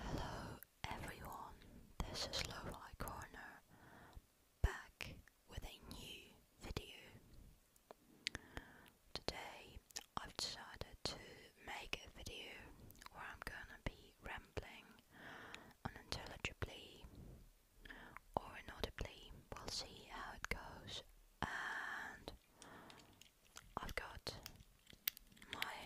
Hello everyone, this is Lo-Fi Corner, back with a new video. Today I've decided to make a video where I'm gonna be rambling unintelligibly or inaudibly, we'll see how it goes, and I've got my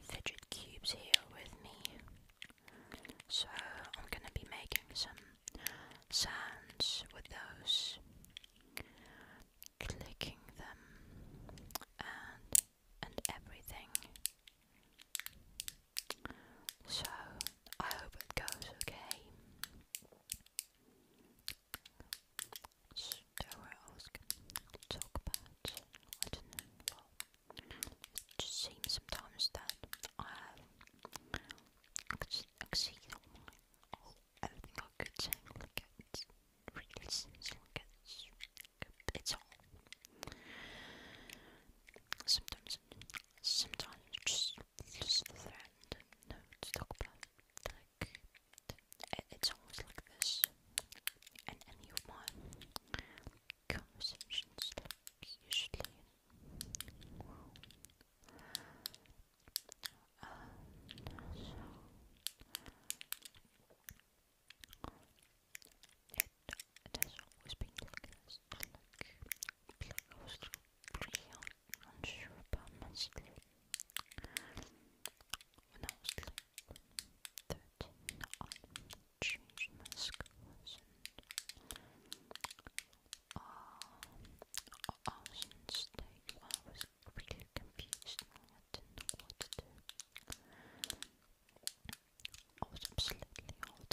fidget cubes here with me, so I'm gonna be making some sounds with those, clicking them, and and everything. So I hope it goes okay ask, talk about, I don't know, it just seems sometimes that I have exceeded all my, all, everything I could say, like it really seems it's, it's all. Sometimes, sometimes just, just the threat, no, to talk about, like, it's always like this in any of my conversations, like usually. Well, uh, so it, it always been like this, like, like I was like 13, I changed my schools and I was in I was really confused I didn't know what to do. I was absolutely out.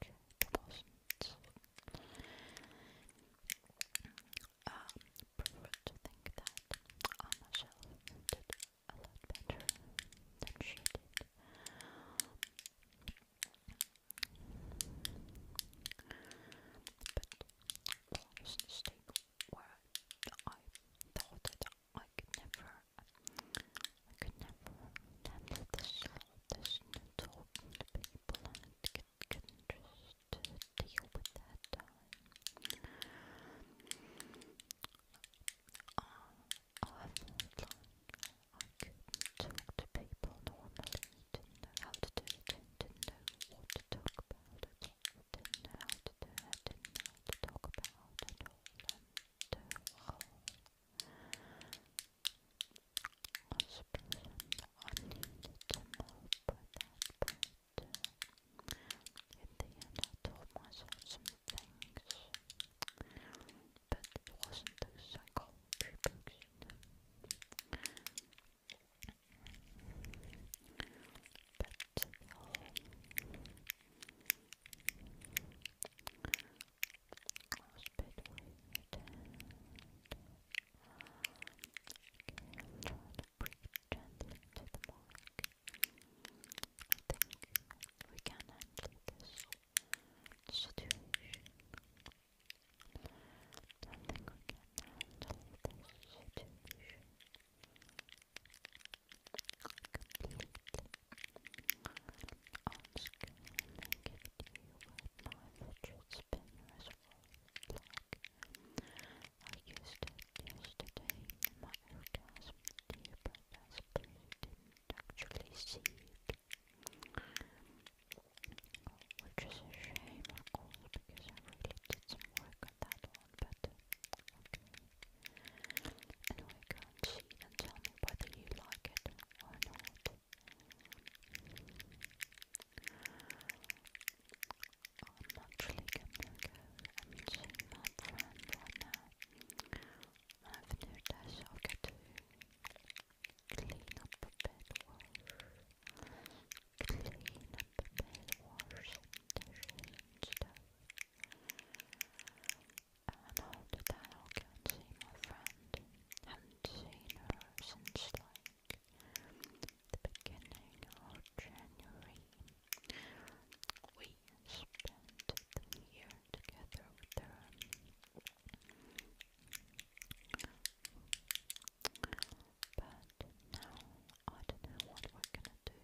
2000. Um, I prefer to think that I did a lot better than she did. But that was a mistake where I thought that I could never, I could never handle this this talking to people and get, getting just to deal with that time. Uh, I've learned I couldn't talk to people normally, didn't know how to do it, didn't know what to talk about at all, didn't know how to do it, didn't know how to talk about at all, and uh, oh, Last person I needed to help at the end, I told some things, but wasn't those psychology was between the dead. breathe gently into the mark. I think we can handle this situation. I think we can handle this situation completely. On screen activity where my fidget spinner is I used it yesterday in my orgasm dear but I split didn't actually see Which is a shame of course because I really did some that one but Anyway go and see and tell me whether you like it or not. I'm actually gonna go and see my friend right now. I've noticed i got to clean up a bit, clean up a bit, wash some stuff and all the time I can see my friend. Haven't seen her since like the beginning of January. We spent the year together with her. But now I don't know what we're gonna do.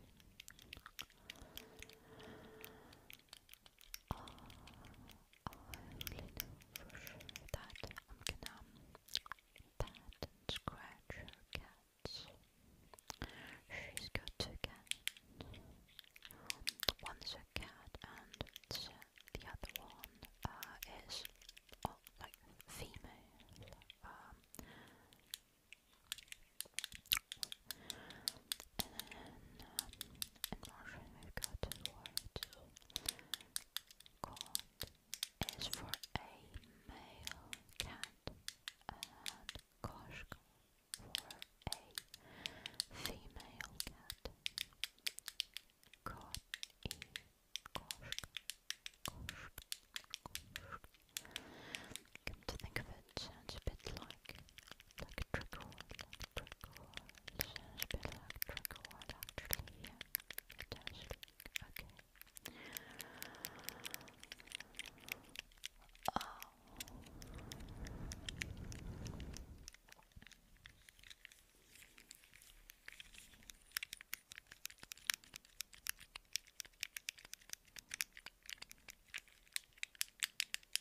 Uh, I really that I'm gonna pat and scratch her cats. She's got two cats. One's a cat and the other one is oh, like female. And then in Russian we've got word called is for a male cat and koshka for a female cat. Kot i koshka, koshka, think of it sounds a bit like like a sounds a bit like actually, yeah. okay. Oh.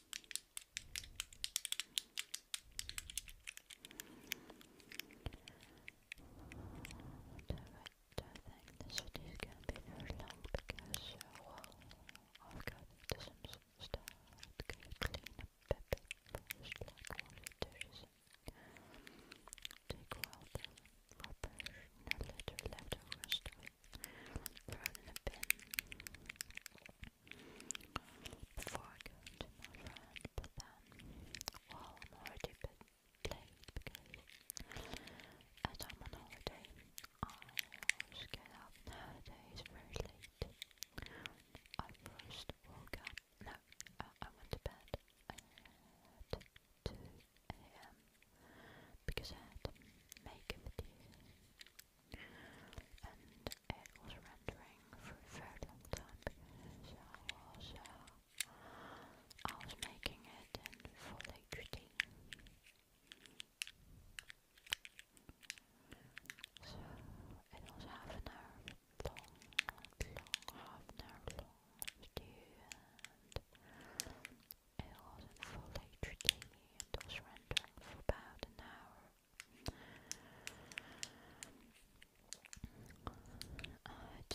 I think the city be very long because, I've got some stuff. to clean up a bit first, dishes. Take out the rubbish, not litter, leftover stuff thrown in Before I go into my friend, I'm already a late because as I'm on holiday, I get up nowadays very late. I first woke up, no, uh, I went to bed at 2 am because I had to make and it was rendering for a very long time because I was, uh, making it in full HD. So it was half an hour long, long half an hour long it was in full electricity and was rendering for about an hour. I had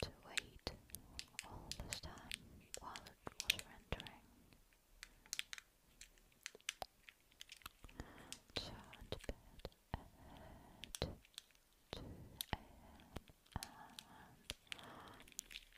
to, wait all this time while it was rendering.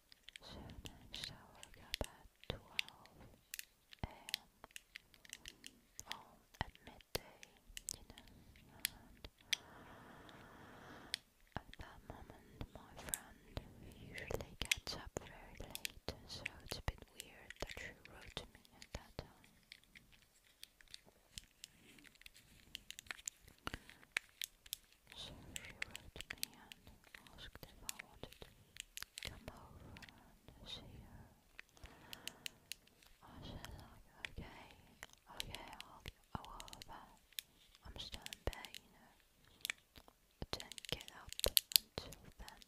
should and shall up at 12 a.m. Well, at midday, and at that moment my friend usually gets up very late, so it's a bit weird that she wrote to me at that time. So she wrote me and asked if I wanted to come over and see her. I said like, okay, okay, I'll go over. I'm still in bed, you not get up until then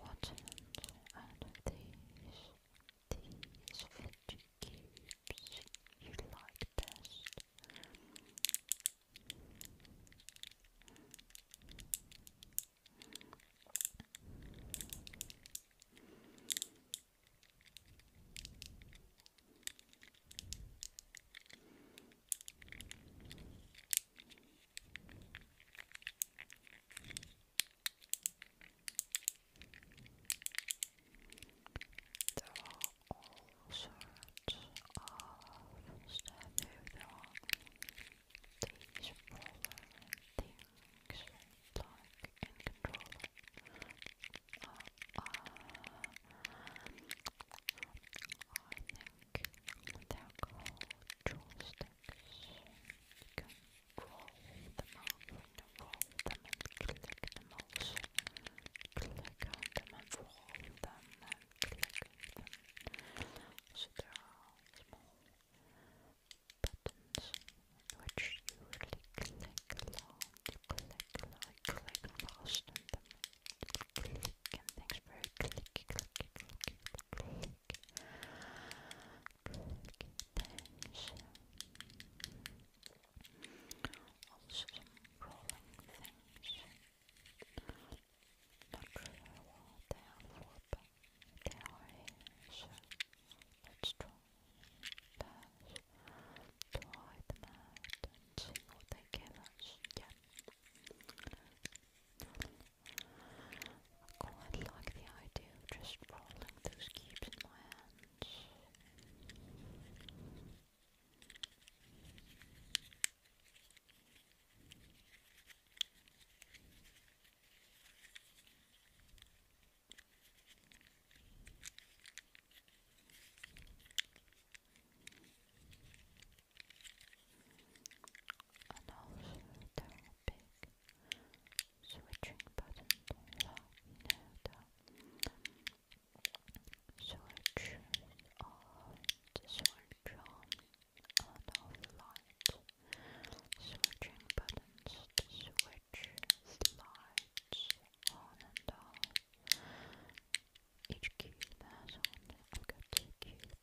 what out these, these fidget you like best? There are all sorts of stuff there these roller things like in control uh, I think they're called joysticks. You can roll them out and roll them and click them also. Click on them and roll them and click them. So there are small buttons which you really click along. You click, like, click fast on them click, and thanks for click, click, click, some rolling things. they are for, but they are here, so let's try this to them out they give us. Yeah. I quite like the idea of just rolling those cubes in my hands and also there big switching buttons switch on, switch on and off lights switching buttons to switch the on and off each cube has on, I've got two cubes,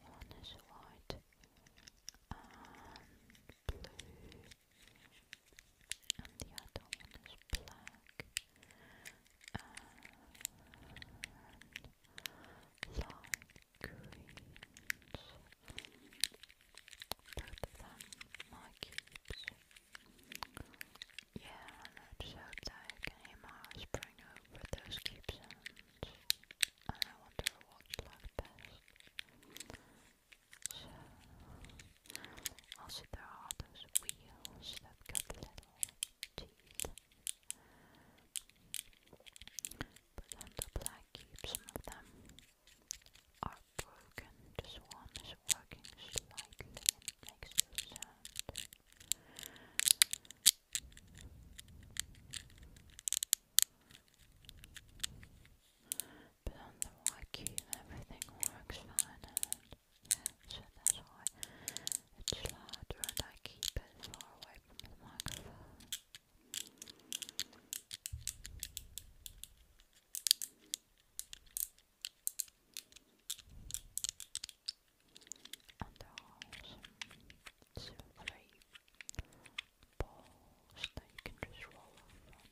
one is white and blue the other one is black and light greens. Both of my cubes. Yeah, and it showed that you can hear my eyes over those keep And I wonder what's like best. So, also there are those wheels that got little teeth. But then the black keep, of them are broken. This one is working slightly Makes no But on the Y everything works fine, and so that's why it's louder I keep it far away from the microphone and there's so three balls that you can just roll over I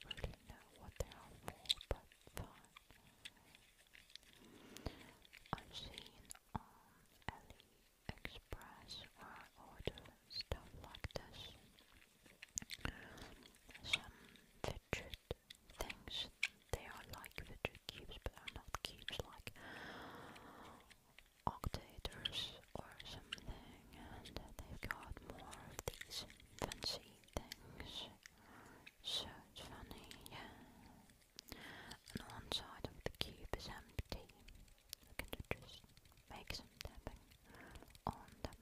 don't really know what they are for, but I've seen um, AliExpress where I stuff like this. Some rigid things. They are like rigid cubes, but they are not cubes like octators or something. And they've got more of these fancy things. So it's funny, yeah. And one side of the cube is empty. I can just make some on them.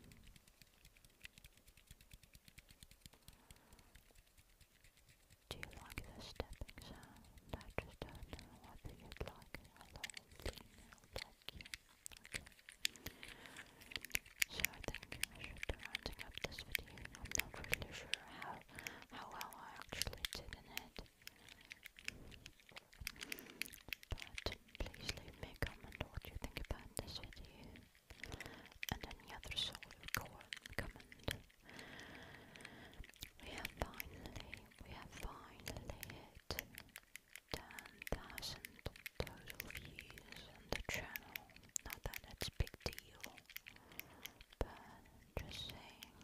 Do you like the stepping sound? I just don't know whether you'd like a long female donkey. Okay. So I think I should be rounding up this video. I'm not really sure how how well I actually did in it. But please leave me a comment what you think about this video and any other sort of comment. We have finally, we have finally hit 10,000 total views on the channel. Not that it's big deal, but just saying.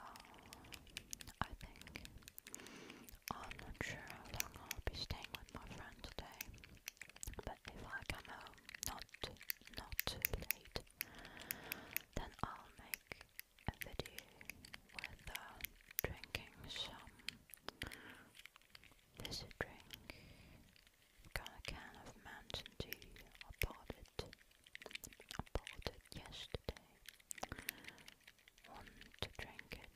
Oh, I think I'm not sure how long I'll be staying with my friend today, but if I come home not not too late, then I'll make a video with uh, drinking some fizzy drink, got a can of mountain dew, I bought it, I bought it yesterday, want to drink it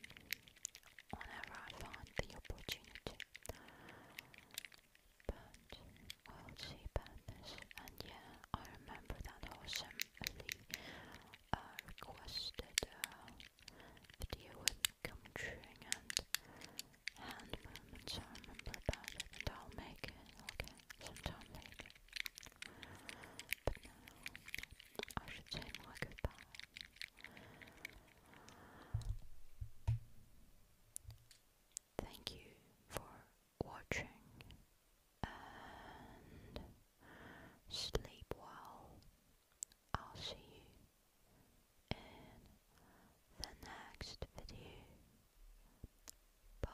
whenever I find the opportunity. But we'll see about this. And yeah, I remember that awesome Lee uh, requested a uh, video with gum and hand movements. I remember about and I'll make it okay sometime later. But now I should say my goodbye. Thank you for watching and sleep well. I'll see you in the next video. Bye.